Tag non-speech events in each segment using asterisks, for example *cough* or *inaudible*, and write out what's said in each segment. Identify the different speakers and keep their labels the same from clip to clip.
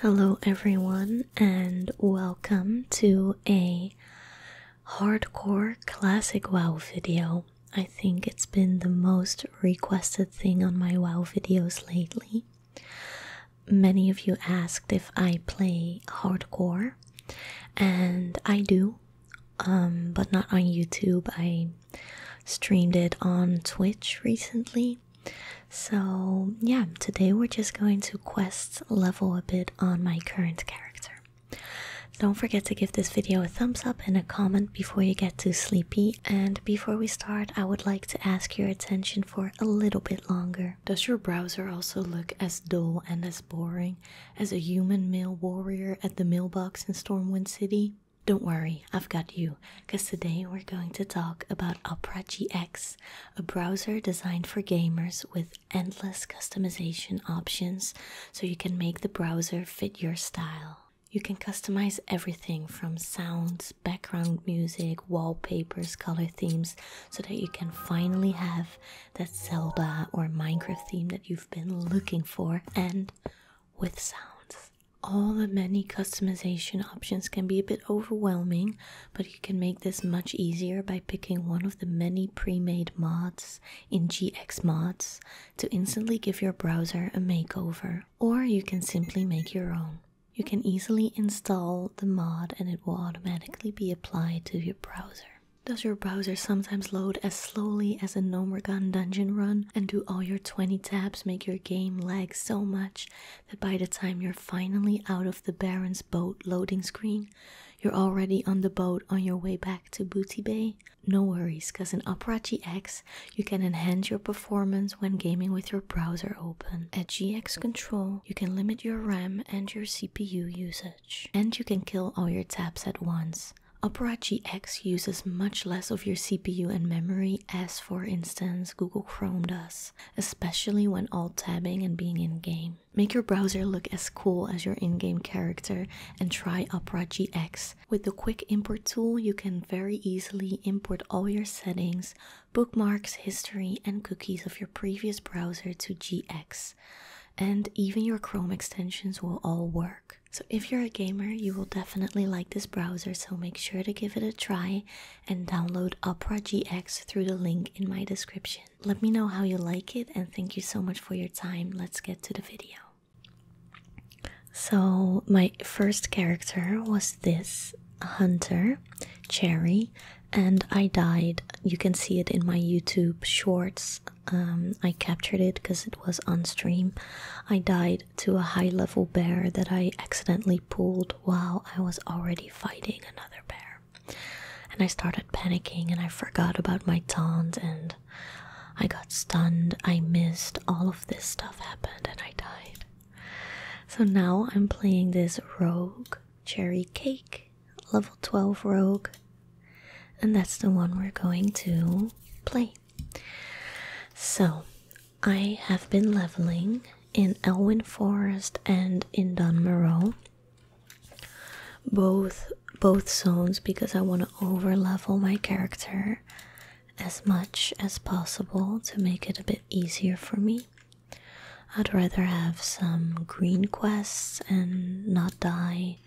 Speaker 1: Hello, everyone, and welcome to a hardcore classic WoW video. I think it's been the most requested thing on my WoW videos lately. Many of you asked if I play hardcore, and I do, um, but not on YouTube. I streamed it on Twitch recently so, yeah, today we're just going to quest level a bit on my current character. Don't forget to give this video a thumbs up and a comment before you get too sleepy. And before we start, I would like to ask your attention for a little bit longer. Does your browser also look as dull and as boring as a human mail warrior at the mailbox in Stormwind City? Don't worry, I've got you, because today we're going to talk about Opera GX, a browser designed for gamers with endless customization options so you can make the browser fit your style. You can customize everything from sounds, background music, wallpapers, color themes, so that you can finally have that Zelda or Minecraft theme that you've been looking for and with sounds all the many customization options can be a bit overwhelming, but you can make this much easier by picking one of the many pre-made mods in GX Mods to instantly give your browser a makeover. Or you can simply make your own. You can easily install the mod and it will automatically be applied to your browser. Does your browser sometimes load as slowly as a Nomergon dungeon run? And do all your 20 tabs make your game lag so much that by the time you're finally out of the Baron's boat loading screen, you're already on the boat on your way back to Booty Bay. No worries, because in Opera GX you can enhance your performance when gaming with your browser open. At GX Control, you can limit your RAM and your CPU usage, and you can kill all your tabs at once. Opera GX uses much less of your CPU and memory as, for instance, Google Chrome does especially when alt tabbing and being in game. Make your browser look as cool as your in game character and try Opera GX. With the quick import tool, you can very easily import all your settings, bookmarks, history, and cookies of your previous browser to GX. And even your Chrome extensions will all work. So, if you're a gamer, you will definitely like this browser, so make sure to give it a try and download Opera GX through the link in my description. Let me know how you like it and thank you so much for your time. Let's get to the video. So, my first character was this hunter, Cherry, and I died. You can see it in my YouTube shorts. Um, I captured it because it was on stream. I died to a high level bear that I accidentally pulled while I was already fighting another bear. And I started panicking and I forgot about my taunt and I got stunned. I missed. All of this stuff happened and I died. So now I'm playing this rogue cherry cake, level 12 rogue. And that's the one we're going to play. So I have been leveling in Elwyn Forest and in Dunmoreau. Both both zones because I want to overlevel my character as much as possible to make it a bit easier for me. I'd rather have some green quests and not die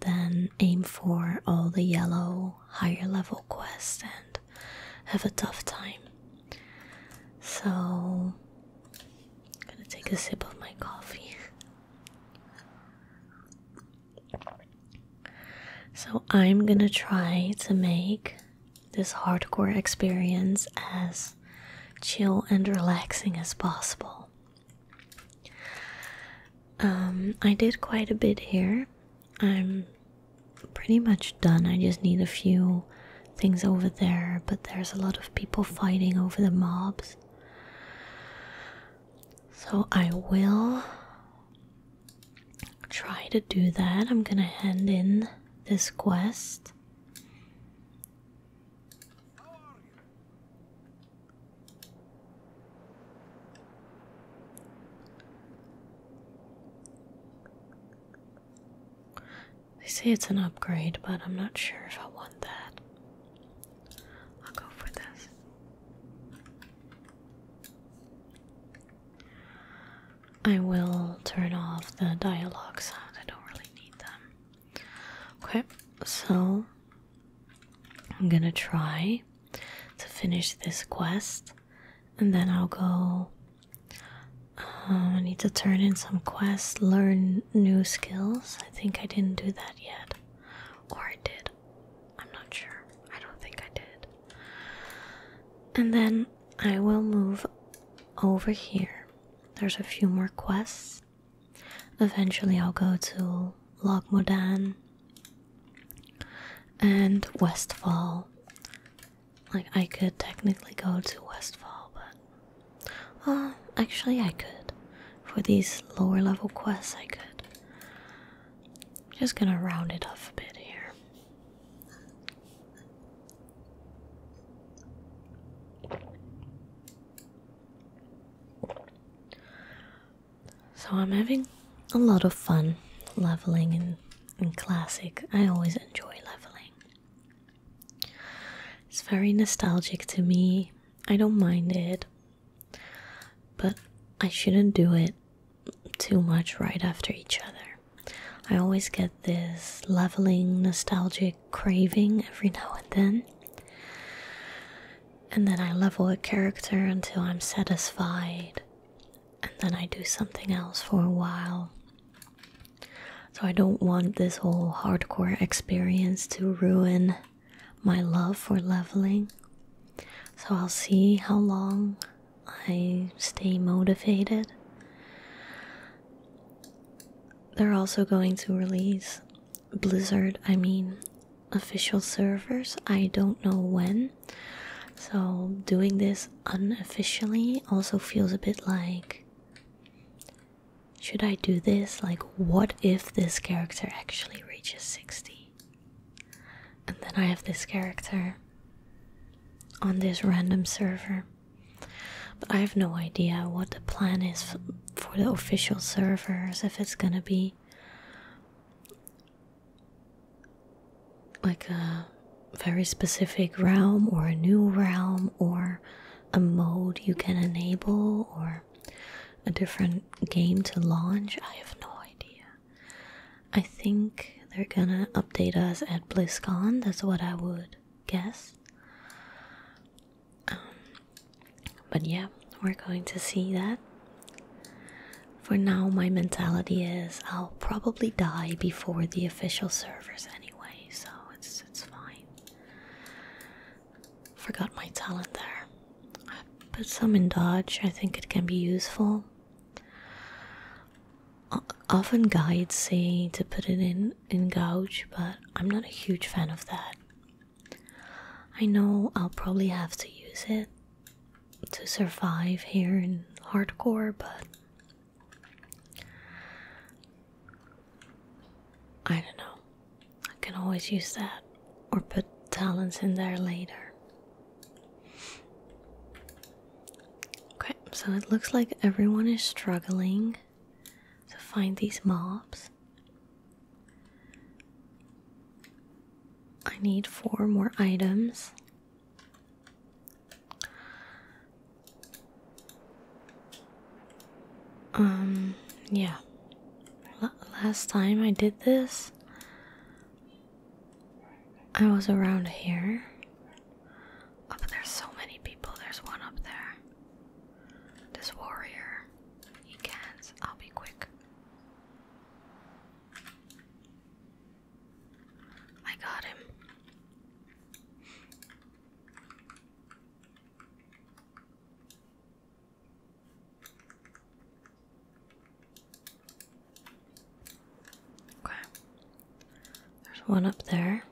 Speaker 1: than aim for all the yellow higher level quests and have a tough time. So, I'm gonna take a sip of my coffee. So, I'm gonna try to make this hardcore experience as chill and relaxing as possible. Um, I did quite a bit here I'm pretty much done. I just need a few things over there, but there's a lot of people fighting over the mobs. So I will try to do that. I'm gonna hand in this quest. They say it's an upgrade, but I'm not sure if I want that. I'll go for this. I will turn off the dialogue sound. I don't really need them. Okay, so I'm gonna try to finish this quest and then I'll go um, I need to turn in some quests, learn new skills. I think I didn't do that yet. Or I did. I'm not sure. I don't think I did. And then I will move over here. There's a few more quests. Eventually, I'll go to Logmodan and Westfall like, I could technically go to Westfall, but. Well, actually, I could. For these lower level quests, I could. Just gonna round it off a bit here. So, I'm having a lot of fun leveling and and classic. I always enjoy leveling. It's very nostalgic to me. I don't mind it. But I shouldn't do it too much right after each other. I always get this leveling nostalgic craving every now and then. And then I level a character until I'm satisfied and then I do something else for a while. So I don't want this whole hardcore experience to ruin my love for leveling. So I'll see how long I stay motivated. They're also going to release Blizzard, I mean, official servers. I don't know when. So, doing this unofficially also feels a bit like should I do this? Like, what if this character actually reaches 60? And then I have this character on this random server. But I have no idea what the plan is for the official servers, if it's gonna be like a very specific realm or a new realm or a mode you can enable or a different game to launch i have no idea i think they're gonna update us at blizzcon that's what i would guess um, but yeah we're going to see that for now, my mentality is I'll probably die before the official servers anyway, so it's it's fine. Forgot my talent there. I put some in dodge. I think it can be useful. often guides say to put it in in gouge, but I'm not a huge fan of that. I know I'll probably have to use it, to survive here in hardcore, but I don't know. I can always use that or put talents in there later. Okay, so it looks like everyone is struggling to find these mobs. I need four more items um, yeah. last time I did this, I was around here. Oh, but there's so many people. There's one up there. This warrior. He can't. I'll be quick. I got him. Okay. There's one up there.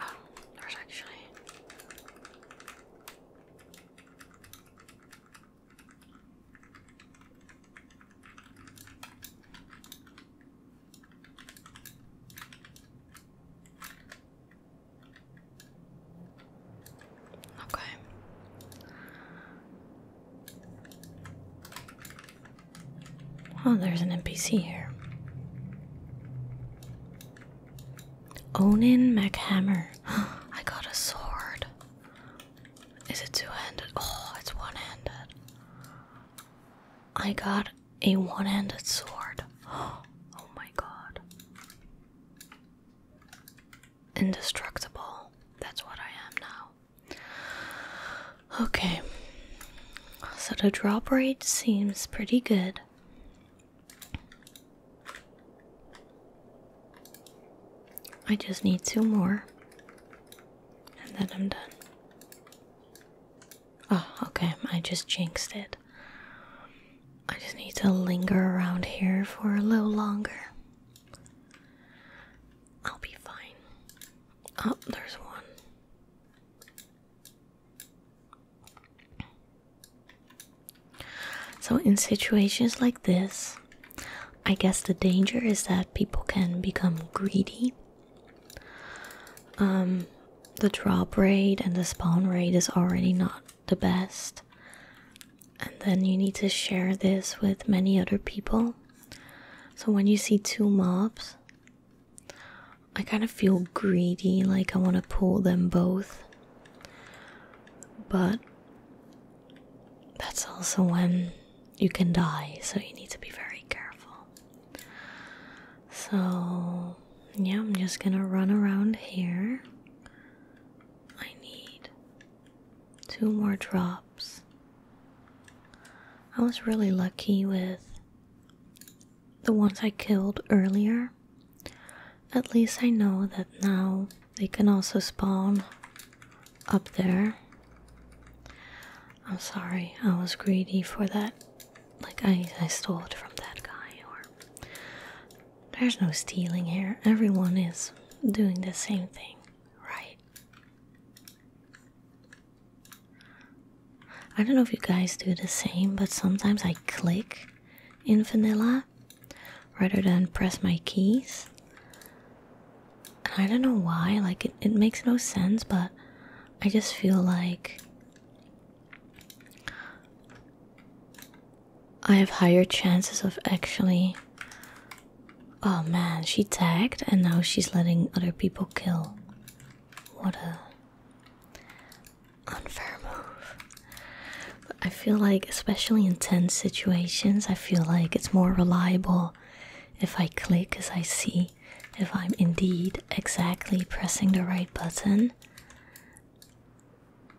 Speaker 1: Oh, there's actually. Okay. Oh, there's an NPC here. Onin McHammer. *gasps* I got a sword. Is it two handed? Oh, it's one handed. I got a one handed sword. *gasps* Oh my god. Indestructible. That's what I am now. Okay. So the drop rate seems pretty good. I just need two more and then I'm done. Oh, okay, I just jinxed it. I just need to linger around here for a little longer. I'll be fine. Oh, there's one. So, in situations like this, I guess the danger is that people can become greedy. Um, the draw rate and the spawn rate is already not the best, and then you need to share this with many other people. So, when you see two mobs, I kind of feel greedy, like I want to pull them both. But that's also when you can die, so you need to be very careful. So, yeah, I'm just gonna run around here. I need two more drops. I was really lucky with the ones I killed earlier. At least I know that now they can also spawn up there. I'm sorry, I was greedy for that. Like, I, I stole it from that guy, or. There's no stealing here. Everyone is doing the same thing, right? I don't know if you guys do the same, but sometimes I click in vanilla rather than press my keys. And I don't know why, like it, it makes no sense, but I just feel like I have higher chances of actually. Oh man, she tagged and now she's letting other people kill. What a unfair move. I feel like, especially in tense situations, I feel like it's more reliable if I click as I see if I'm indeed exactly pressing the right button.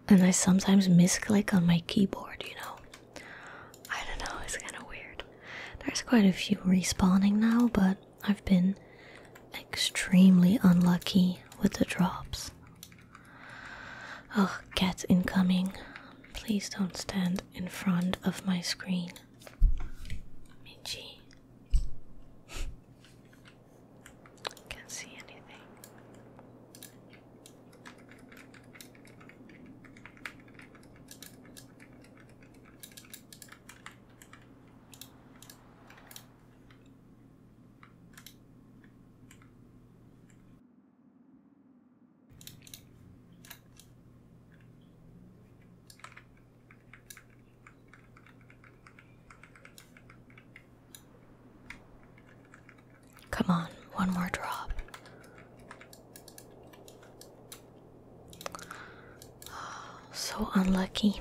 Speaker 1: And I sometimes misclick on my keyboard, you know. I don't know, it's kind of weird. There's quite a few respawning now, but I've been extremely unlucky with the drops. Oh, cat incoming. Please don't stand in front of my screen. Minji. Can't see anything. Come on, one more drop. *sighs* So unlucky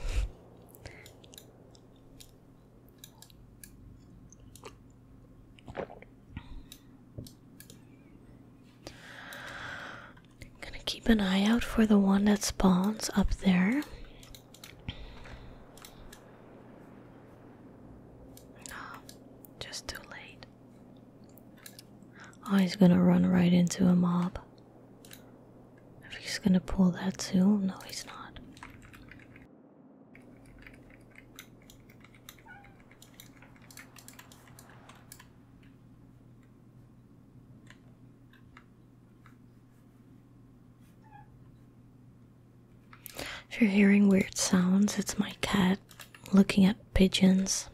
Speaker 1: gonna keep an eye out for the one that spawns up there. Oh, just too late. Oh, he's gonna run right into a mob. If he's gonna pull that too, no, he's not. If you're hearing weird sounds, it's my cat looking at pigeons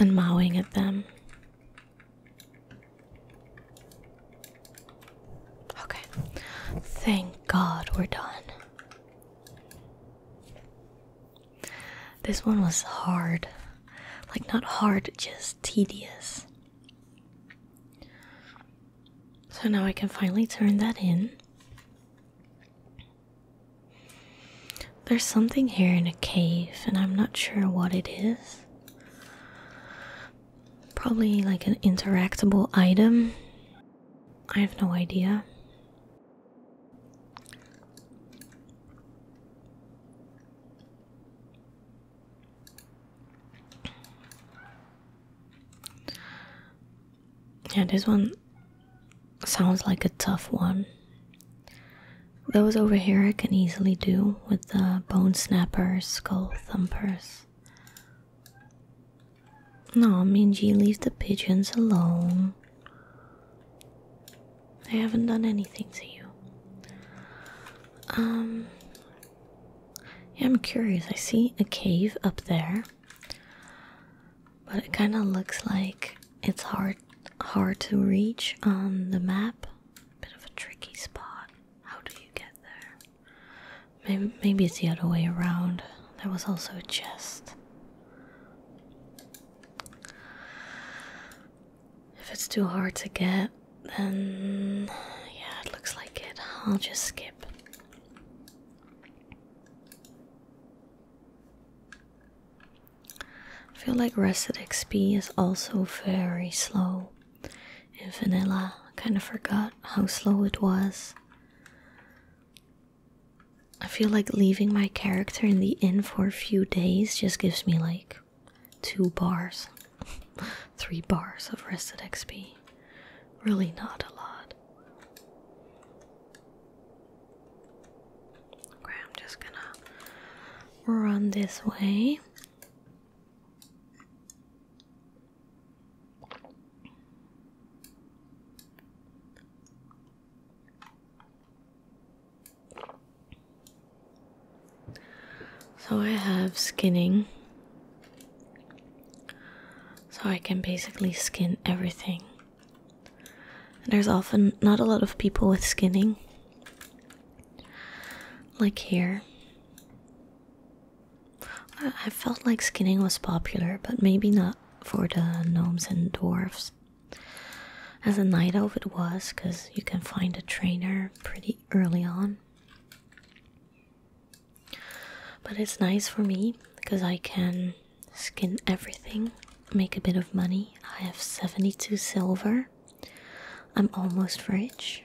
Speaker 1: and mowing at them. Okay. Thank God we're done. This one was hard. Like, not hard, just tedious. So now I can finally turn that in. There's something here in a cave, and I'm not sure what it is. Probably like an interactable item. I have no idea. Yeah, this one sounds like a tough one. Those over here I can easily do with the bone snappers, skull thumpers. No, Minji, leave the pigeons alone. They haven't done anything to you. Um, I'm curious. I see a cave up there, but it kind of looks like it's hard hard to reach on the map. Bit of a tricky spot. How do you get there? Maybe, it's the other way around. There was also a chest. If it's too hard to get, then yeah, it looks like it. I'll just skip. feel like rested XP is also very slow in vanilla. kind of forgot how slow it was. I feel like leaving my character in the inn for a few days just gives me like two bars, *laughs* three bars of rested XP. Really, not a lot. Okay, I'm just gonna run this way. So I have skinning. So I can basically skin everything. there's often not a lot of people with skinning. Like here. I, felt like skinning was popular, but maybe not for the gnomes and dwarves. As a night elf, it was because you can find a trainer pretty early on. But it's nice for me because I can skin everything, make a bit of money. I have 72 silver. I'm almost rich.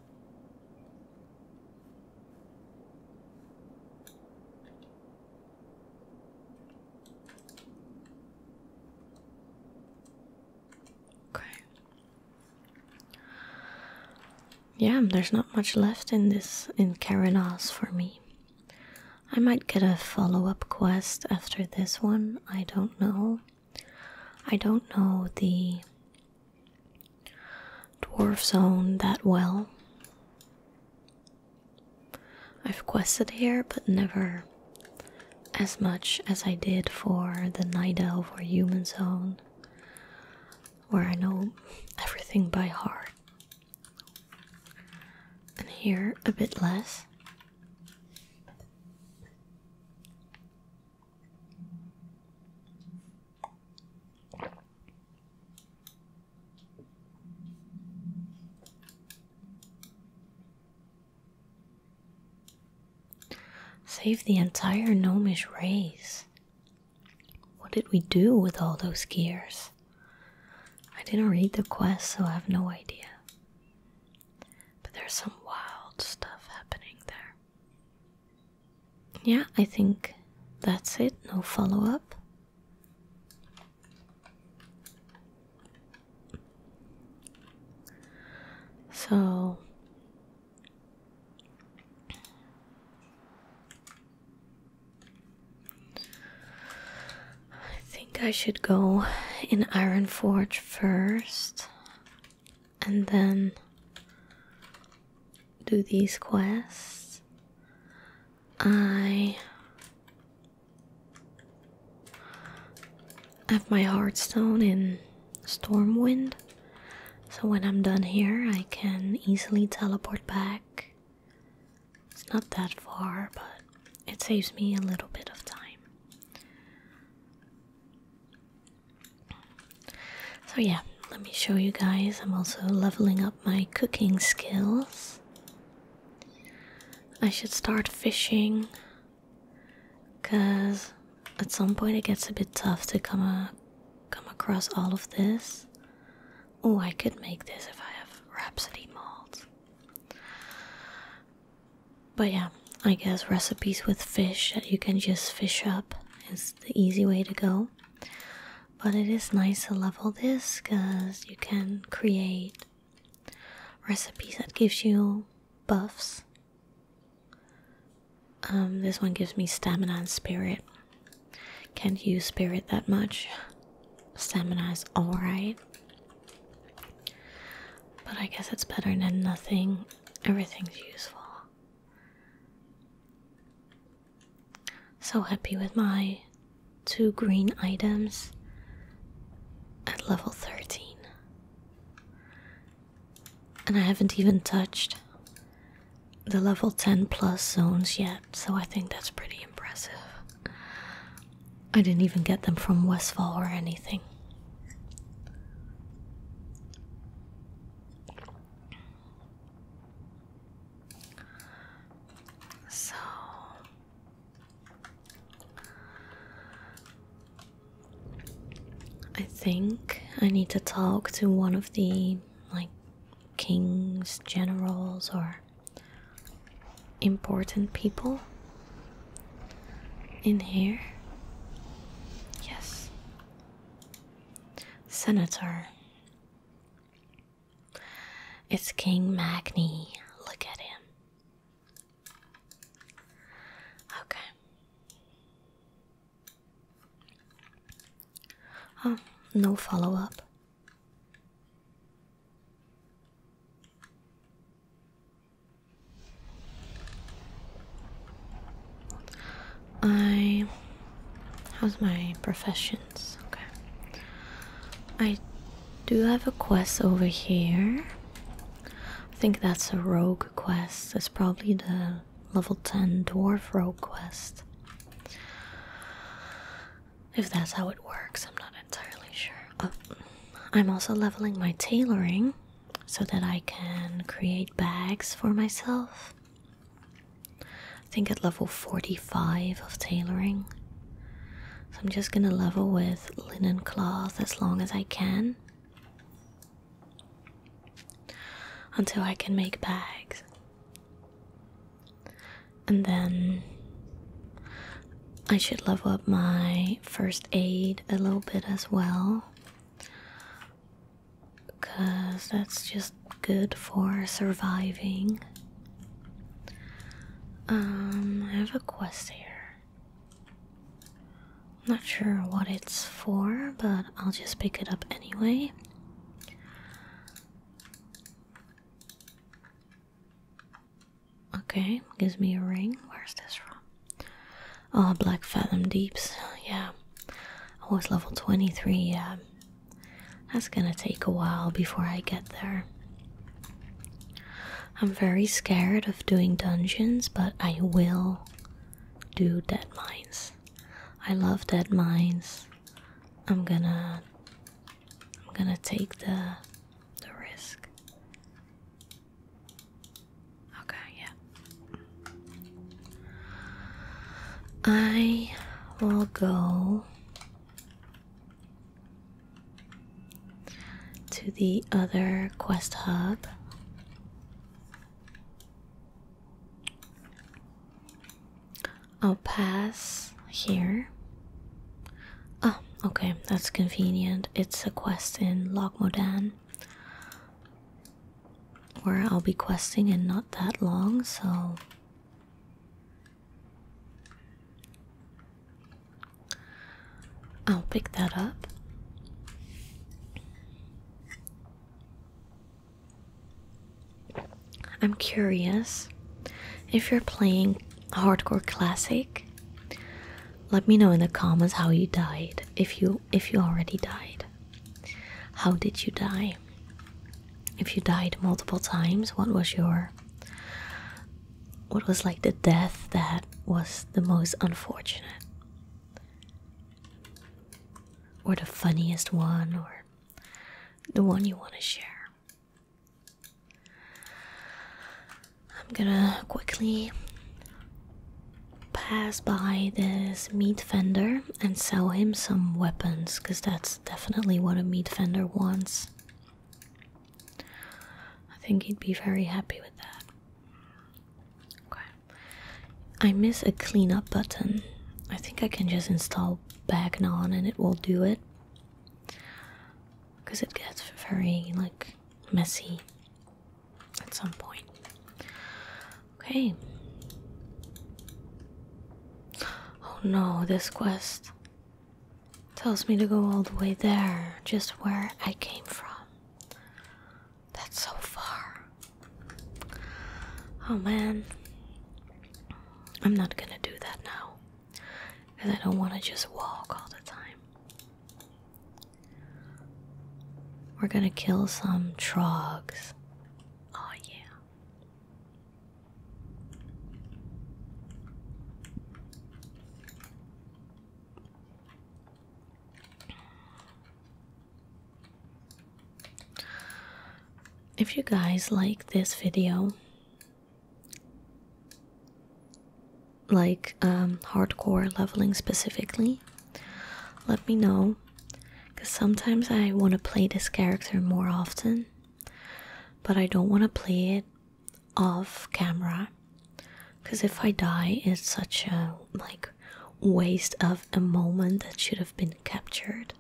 Speaker 1: Okay. Yeah, there's not much left in this in Karanas for me. I might get a follow-up quest after this one. I don't know. I don't know the Dwarves own that well. I've quested here, but never as much as I did for the Night Elf or Human Zone, where I know everything by heart. And here, a bit less. Save the entire gnomish race. What did we do with all those gears? I didn't read the quest, so I have no idea. But there's some wild stuff happening there. Yeah, I think that's it. No follow up. So I think I should go in Iron Forge first and then do these quests. I have my Hearthstone in Stormwind, so when I'm done here, I can easily teleport back. It's not that far, but it saves me a little bit of time. So, yeah, let me show you guys. I'm also leveling up my cooking skills. I should start fishing because at some point it gets a bit tough to come, come across all of this. Oh, I could make this if I have Rhapsody malt. But yeah, I guess recipes with fish that you can just fish up is the easy way to go. But it is nice to level this because you can create recipes that gives you buffs. Um, this one gives me stamina and spirit. Can't use spirit that much. Stamina is alright. But I guess it's better than nothing. Everything's useful. So happy with my two green items at level 13. And I haven't even touched the level 10 plus zones yet, so I think that's pretty impressive. I didn't even get them from Westfall or anything. So I think I need to talk to one of the like kings, generals, or important people in here. Yes. Senator. It's King Magni. Look at him. Okay. Oh, no follow up. I how's my professions? Okay. I do have a quest over here. I think that's a rogue quest. It's probably the level 10 dwarf rogue quest. If that's how it works, I'm not entirely sure. Uh, I'm also leveling my tailoring so that I can create bags for myself. I think at level 45 of tailoring. So I'm just gonna level with linen cloth as long as I can until I can make bags. And then I should level up my first aid a little bit as well because that's just good for surviving. Um, I have a quest here. not sure what it's for, but I'll just pick it up anyway. Okay, gives me a ring. Where's this from? Oh, Black Fathom Deeps, yeah. I was level 23, yeah. That's gonna take a while before I get there. I'm very scared of doing dungeons, but I will do dead mines. I love dead mines. I'm gonna I'm gonna take the the risk. Okay, yeah. I will go to the other quest hub. I'll pass here. Oh, okay, that's convenient. It's a quest in Logmodan where I'll be questing and not that long, so I'll pick that up. I'm curious if you're playing hardcore classic. Let me know in the comments how you died if you if you already died. How did you die? If you died multiple times, what was your what was like the death that was the most unfortunate? Or the funniest one or the one you want to share? I'm gonna quickly pass by this meat vendor and sell him some weapons because that's definitely what a meat vendor wants. I think he'd be very happy with that. Okay. I miss a cleanup button. I think I can just install Bagnon and it will do it. Because it gets very like messy at some point. Okay. Oh no, this quest tells me to go all the way there, just where I came from. That's so far. Oh man. I'm not gonna do that now. Because I don't want to just walk all the time. We're gonna kill some trogs. Oh, yeah. If you guys like this video, like um, hardcore leveling specifically, let me know because sometimes I want to play this character more often, but I don't want to play it off camera because if I die, it's such a like waste of a moment that should have been captured.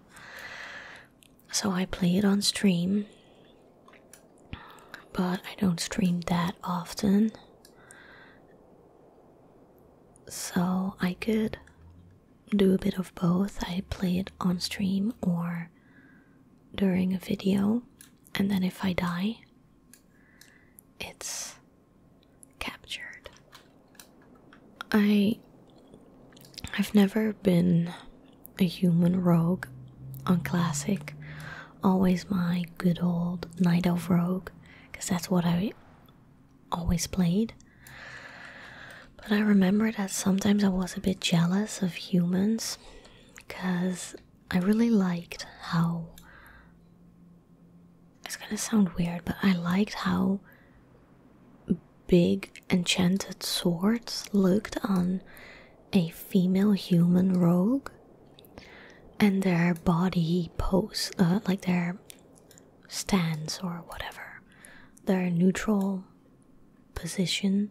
Speaker 1: So I play it on stream, but I don't stream that often. So I could do a bit of both. I play it on stream or during a video, and then if I die, it's captured. I I've never been a human rogue on classic. Always my good old knight of rogue, because that's what I always played. But I remember that sometimes I was a bit jealous of humans because I really liked how. It's gonna sound weird, but I liked how big enchanted swords looked on a female human rogue and their body pose, uh, like their Stands or whatever, their neutral position,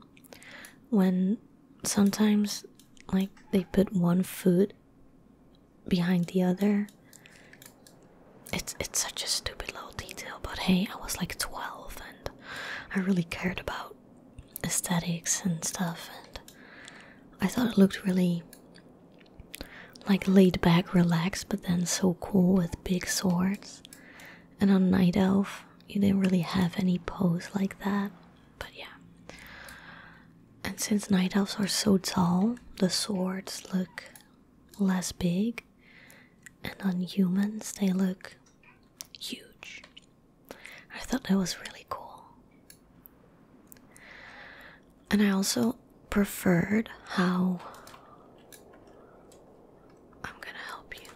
Speaker 1: when sometimes like they put one foot behind the other. It's it's such a stupid little detail, but hey, I was like 12 and I really cared about aesthetics and stuff and I thought it looked really like laid back, relaxed, but then so cool with big swords. And on Night Elf, you didn't really have any pose like that. But yeah. And since Night Elves are so tall, the swords look less big. And on humans, they look huge. I thought that was really cool. And I also preferred how I'm gonna help you.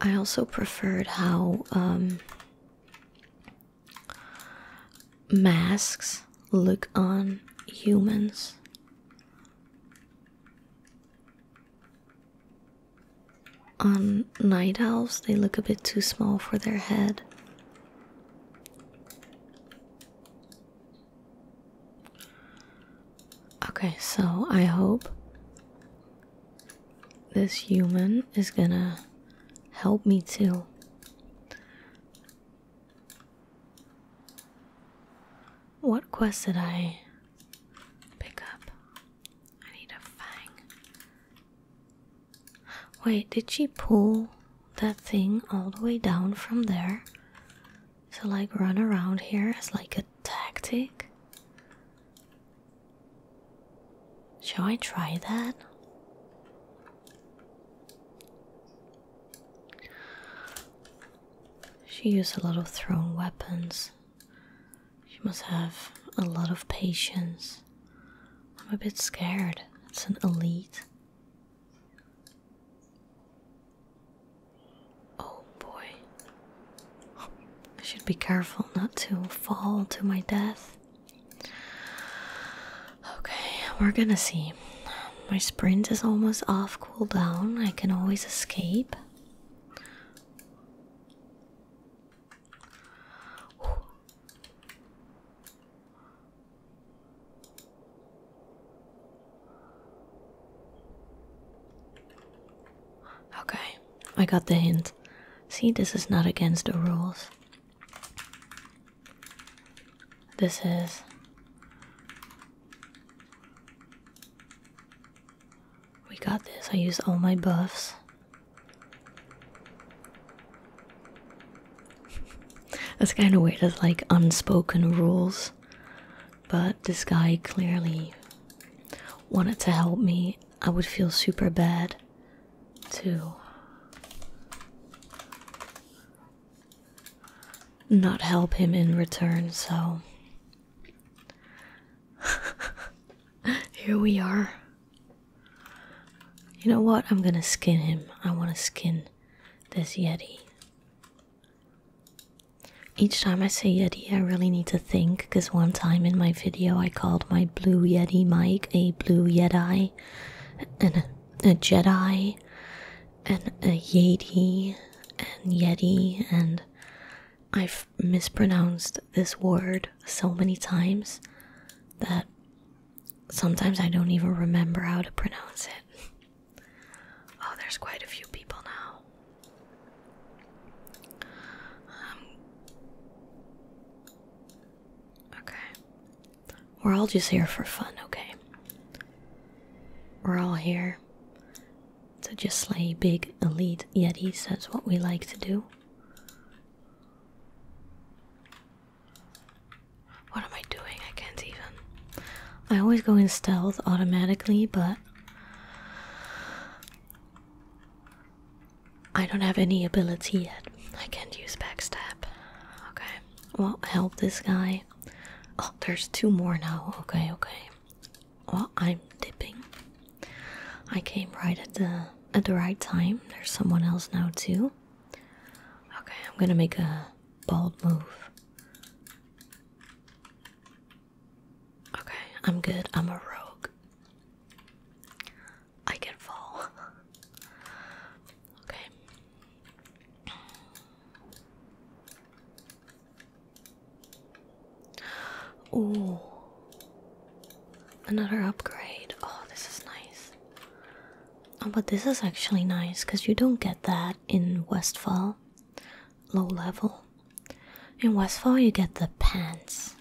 Speaker 1: I also preferred how um, masks look on humans. On night owls, they look a bit too small for their head. Okay, so I hope this human is gonna help me too. What quest did I pick up? I need a fang. Wait, did she pull that thing all the way down from there? to like, run around here as like a tactic? Shall I try that? She used a lot of thrown weapons. She must have a lot of patience. I'm a bit scared. It's an elite. Oh boy. I should be careful not to fall to my death. Okay, we're gonna see. My sprint is almost off cooldown. I can always escape. Okay, I got the hint. See, this is not against the rules. This is. We got this. I use all my buffs. *laughs* That's kind of weird, as like unspoken rules. But this guy clearly wanted to help me. I would feel super bad to not help him in return, so *laughs* here we are. You know what? I'm gonna skin him. I wanna skin this Yeti. Each time I say Yeti, I really need to think because one time in my video I called my blue Yeti mic a blue Yeti, and a, a Jedi, and a Yeti, and Yeti, and I've mispronounced this word so many times that Sometimes I don't even remember how to pronounce it. Oh, there's quite a few people now. Um, okay. We're all just here for fun, okay? We're all here to just slay big elite yetis. That's what we like to do. What am I doing? I can't even. I always go in stealth automatically, but I don't have any ability yet. I can't use backstab. Okay. Well, help this guy. Oh, there's two more now. Okay, okay. Well, I'm dipping. I came right at the at the right time. There's someone else now too. Okay, I'm gonna make a bold move. Okay, I'm good. I'm a rogue. I can fall. *laughs* okay. Ooh. Another upgrade. Oh, this is nice. Oh, but this is actually nice because you don't get that in Westfall. Low level. In Westfall, you get the pants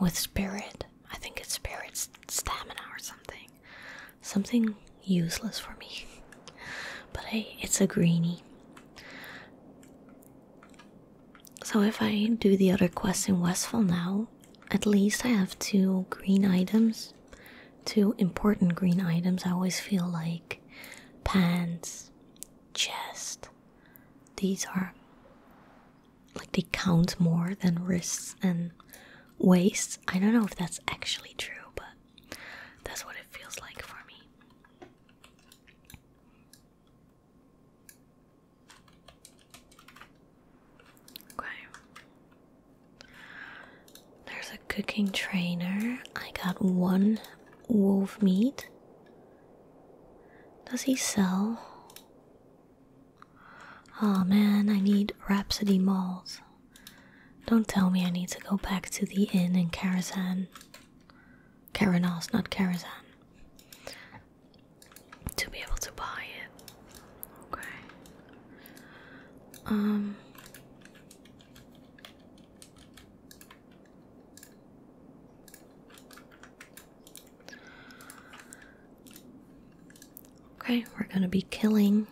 Speaker 1: with spirit. I think it's spirit stamina or something. Something useless for me. *laughs* but hey, it's a greenie. So if I do the other quest in Westfall now, at least I have two green items. Two important green items. I always feel like pants, chest. These are like they count more than wrists and waist. I don't know if that's actually true, but that's what it feels like for me. Okay. There's a cooking trainer. I got one wolf meat. Does he sell? Oh man, I need Rhapsody Malt. Don't tell me I need to go back to the inn in Karazhan. Karanos, not Karazhan to be able to buy it. Okay. Um. Okay, we're going to be killing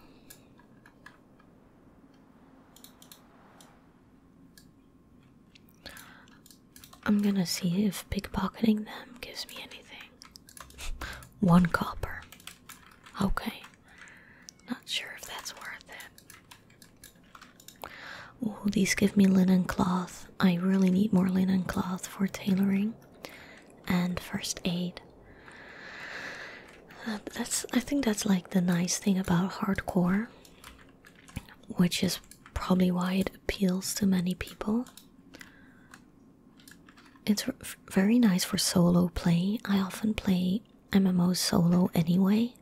Speaker 1: I'm going to see if pickpocketing them gives me anything. One copper. Okay. Not sure if that's worth it. Oh, these give me linen cloth. I really need more linen cloth for tailoring and first aid. Uh, that's I think that's like the nice thing about hardcore, which is probably why it appeals to many people. It's very nice for solo play. I often play MMO solo anyway,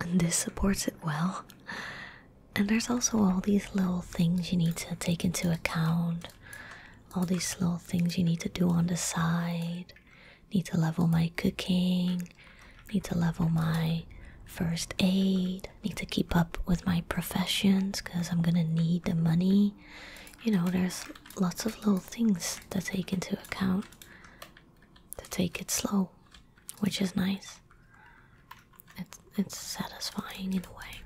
Speaker 1: and this supports it well. And there's also all these little things you need to take into account, all these little things you need to do on the side. Need to level my cooking, need to level my first aid need. I need to keep up with my professions because I'm gonna need the money. You know, there's lots of little things to take into account to take it slow, which is nice. It's it's satisfying in a way.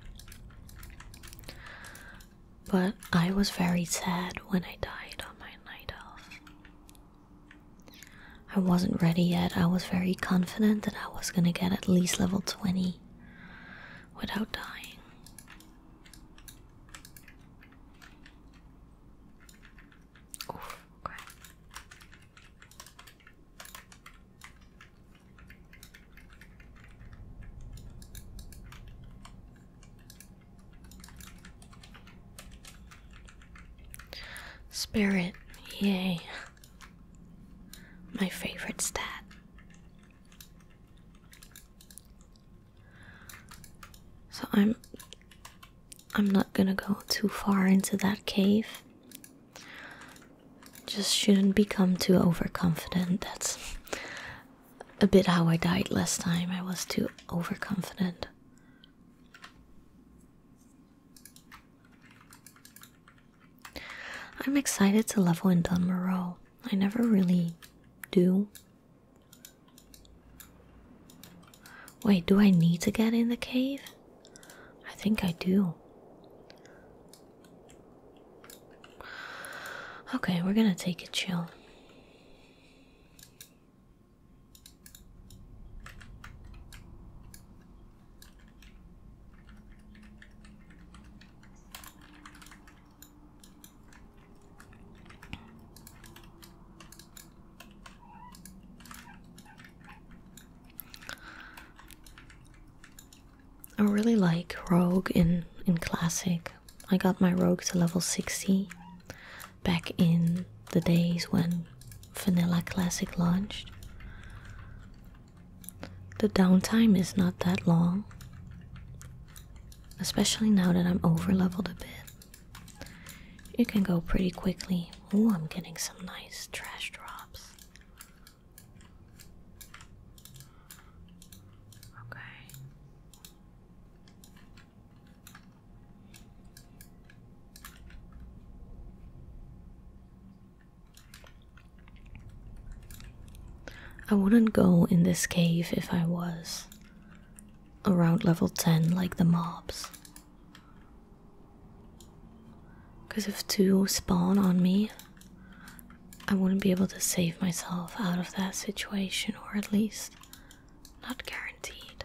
Speaker 1: But I was very sad when I died on my night off. I wasn't ready yet. I was very confident that I was going to get at least level 20 without dying. Spirit, yay. My favorite stat. So I'm I'm not gonna go too far into that cave. Just shouldn't become too overconfident. That's a bit how I died last time. I was too overconfident. I'm excited to level in Dunmoreau. I never really do. Wait, do I need to get in the cave? I think I do. Okay, we're gonna take a chill. I really like Rogue in in classic. I got my Rogue to level 60 back in the days when Vanilla Classic launched the downtime is not that long, especially now that I'm over leveled a bit. It can go pretty quickly. Oh, I'm getting some nice trash drops. Okay. I wouldn't go in this cave if I was around level 10 like the mobs. Because if two spawn on me, I wouldn't be able to save myself out of that situation, or at least not guaranteed.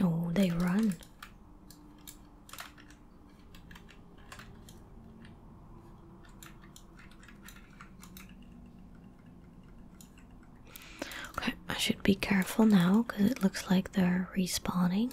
Speaker 1: Oh, they run. Okay, I should be careful now because it looks like they're respawning.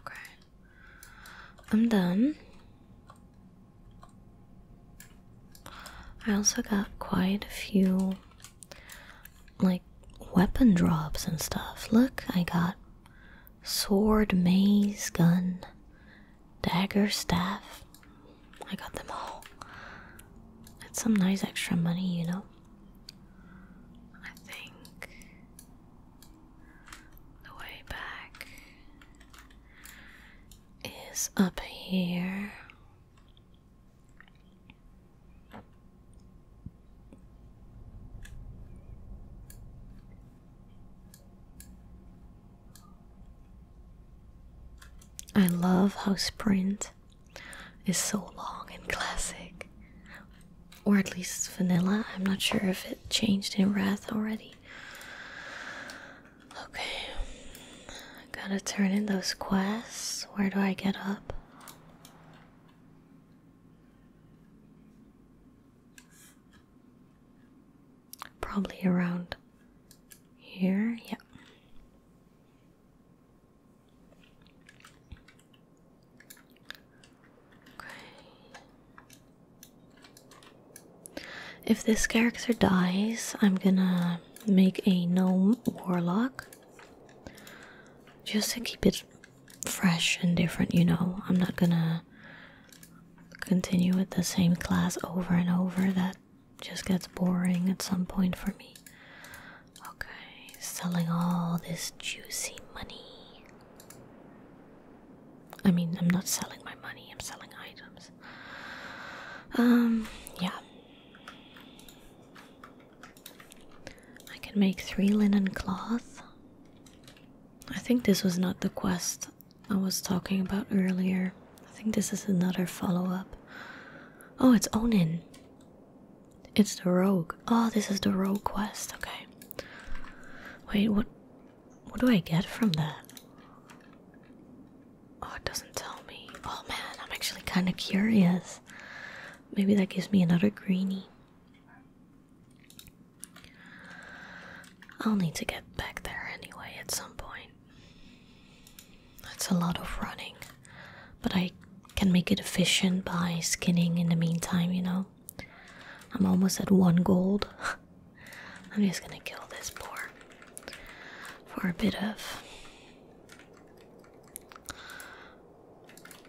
Speaker 1: Okay. I'm done. I also got quite a few like weapon drops and stuff. Look, I got sword, maze, gun, dagger, staff. I got them all. That's some nice extra money, you know. I think the way back is up here. I love how sprint is so long and classic. Or at least vanilla. I'm not sure if it changed in Wrath already. Okay. gotta turn in those quests. Where do I get up? Probably around here, Yep. Okay. If this character dies, I'm gonna make a gnome warlock. Just to keep it fresh and different, you know. I'm not gonna continue with the same class over and over. That just gets boring at some point for me. Okay, selling all this juicy money. I mean, I'm not selling my money, I'm selling items. Um, yeah. I can make three linen cloth. I think this was not the quest I was talking about earlier. I think this is another follow up. Oh, it's Onin. It's the rogue. Oh, this is the rogue quest. Okay. Wait, what? What do I get from that? Oh, it doesn't tell me. Oh man, I'm actually kind of curious. Maybe that gives me another greeny. I'll need to get back there anyway at some point. That's a lot of running but I can make it efficient by skinning in the meantime, you know. I'm almost at one gold. *laughs* I'm just gonna kill this boar for a bit of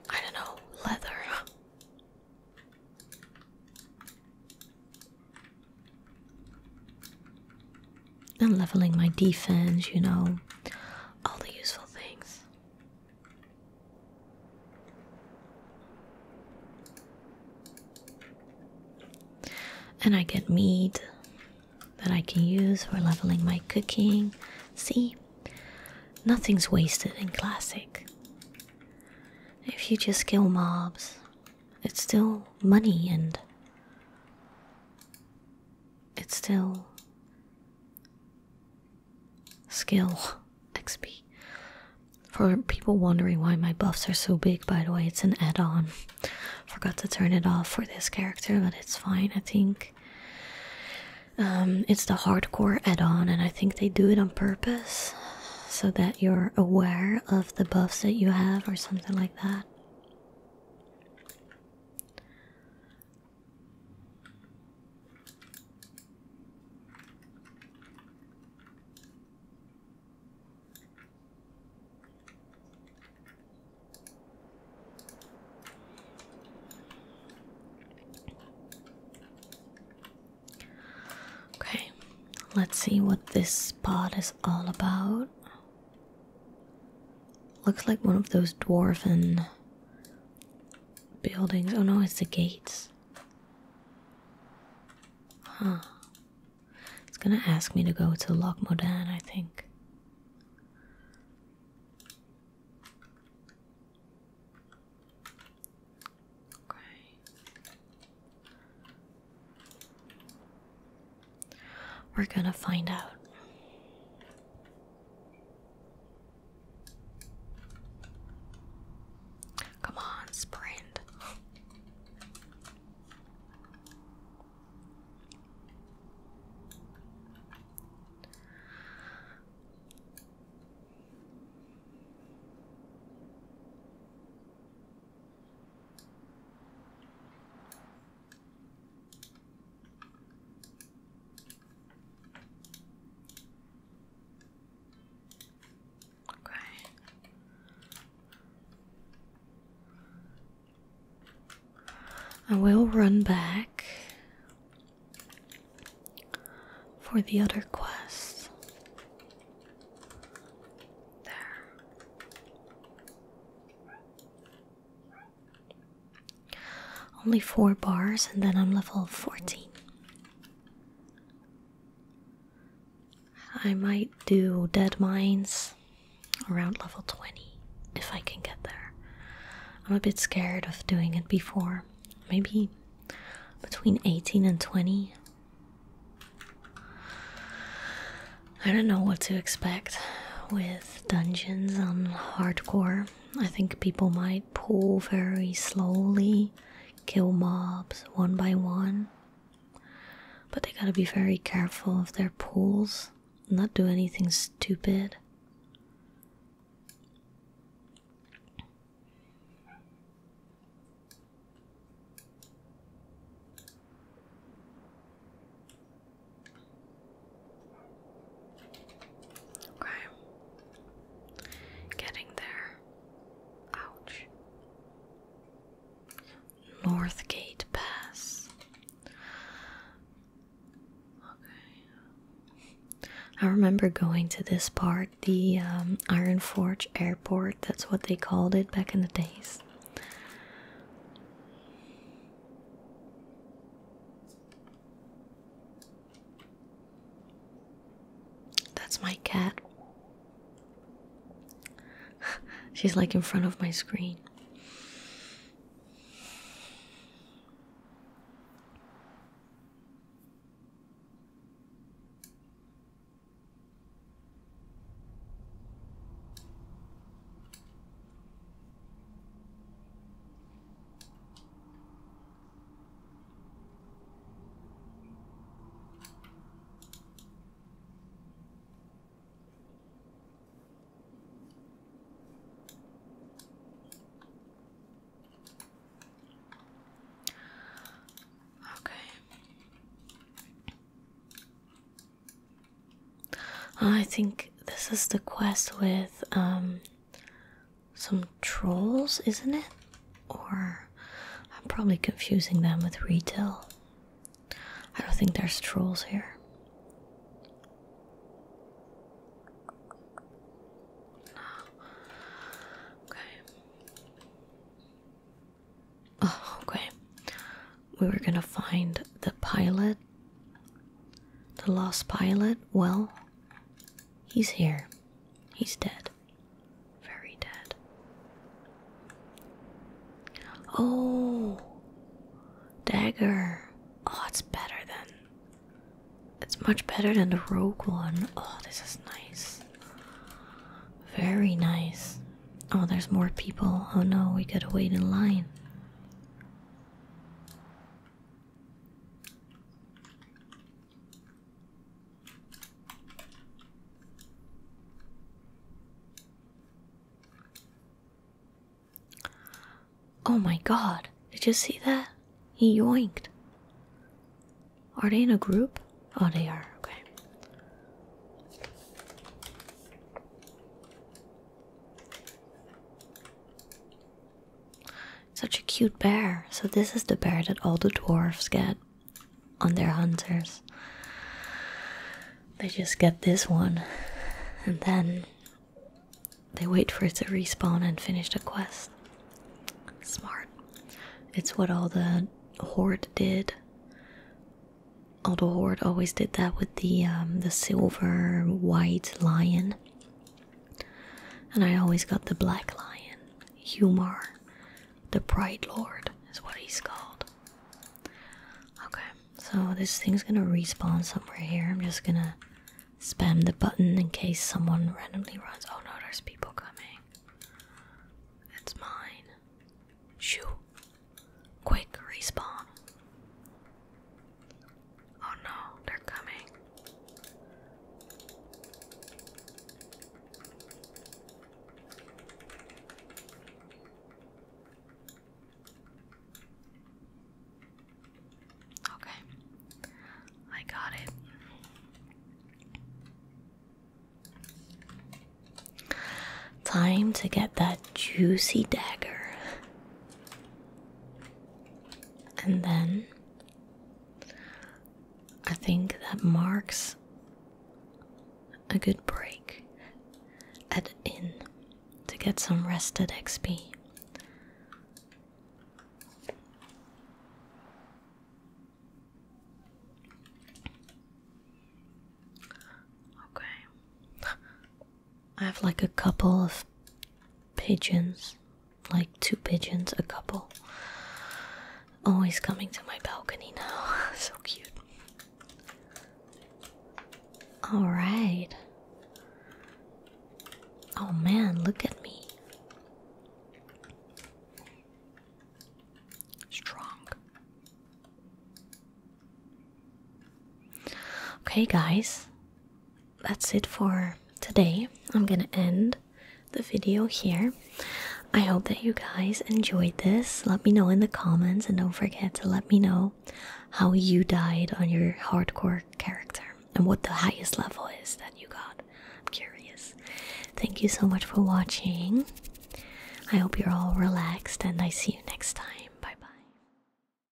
Speaker 1: I don't know, leather. And leveling my defense, you know, all the useful things. And I get meat that I can use for leveling my cooking. See, nothing's wasted in Classic. If you just kill mobs, it's still money and it's still skill XP. For people wondering why my buffs are so big, by the way, it's an add on. Forgot to turn it off for this character, but it's fine, I think. Um, it's the hardcore add on, and I think they do it on purpose so that you're aware of the buffs that you have, or something like that. Okay, let's see what this spot is all about. Looks like one of those dwarven buildings. Oh no, it's the gates. Huh. It's gonna ask me to go to Loch Modan, I think. Okay. We're gonna find out. Come on, sprint. Okay. I will run back for the other quest. There. Only four bars, and then I'm level 14. I might do Dead Mines around level 20 if I can get there. I'm a bit scared of doing it before. Maybe between 18 and 20. I don't know what to expect with dungeons on hardcore. I think people might pull very slowly, kill mobs one by one. But they gotta be very careful of their pulls, not do anything stupid. Okay. Getting there. Ouch. Northgate Pass. Okay. I remember going to this part, the um, Iron Forge Airport, that's what they called it back in the days. That's my cat. *laughs* She's like in front of my screen. Okay. I think this is the quest with um some trolls, isn't it? Or I'm probably confusing them with retail. I don't think there's trolls here. Okay. Oh, okay. We were gonna find the pilot the lost pilot, well, he's here. He's dead. Very dead. Oh, dagger. Oh, it's better than. It's much better than the rogue one. Oh, this is nice. Very nice. Oh, there's more people. Oh no, we gotta wait in line. Oh my god, did you see that? He yanked. Are they in a group? Oh, they are. Okay. Such a cute bear. So, this is the bear that all the dwarves get on their hunters. They just get this one, and then they wait for it to respawn and finish the quest. Smart. It's what all the horde did. All the horde always did that with the um, the silver white lion. And I always got the Black Lion, Humar, the Pride Lord is what he's called. Okay, so this thing's gonna respawn somewhere here. I'm just gonna spam the button in case someone randomly runs. Oh no, there's people coming. It's mine. Shoo. Quick, respawn. Oh no, they're coming. Okay, I got it. Time to get that juicy dagger. And then I think that marks a good break at in to get some rested XP. Okay. I have like a couple of pigeons, like two pigeons, a couple. Always coming to my balcony now. *laughs* so cute. Alright. Oh man, look at me. Strong. Okay, guys, that's it for today. I'm gonna end the video here. I hope that you guys enjoyed this. Let me know in the comments and don't forget to let me know how you died on your hardcore character and what the highest level is that you got. I'm curious. Thank you so much for watching. I hope you're all relaxed and I see you next time. Bye bye.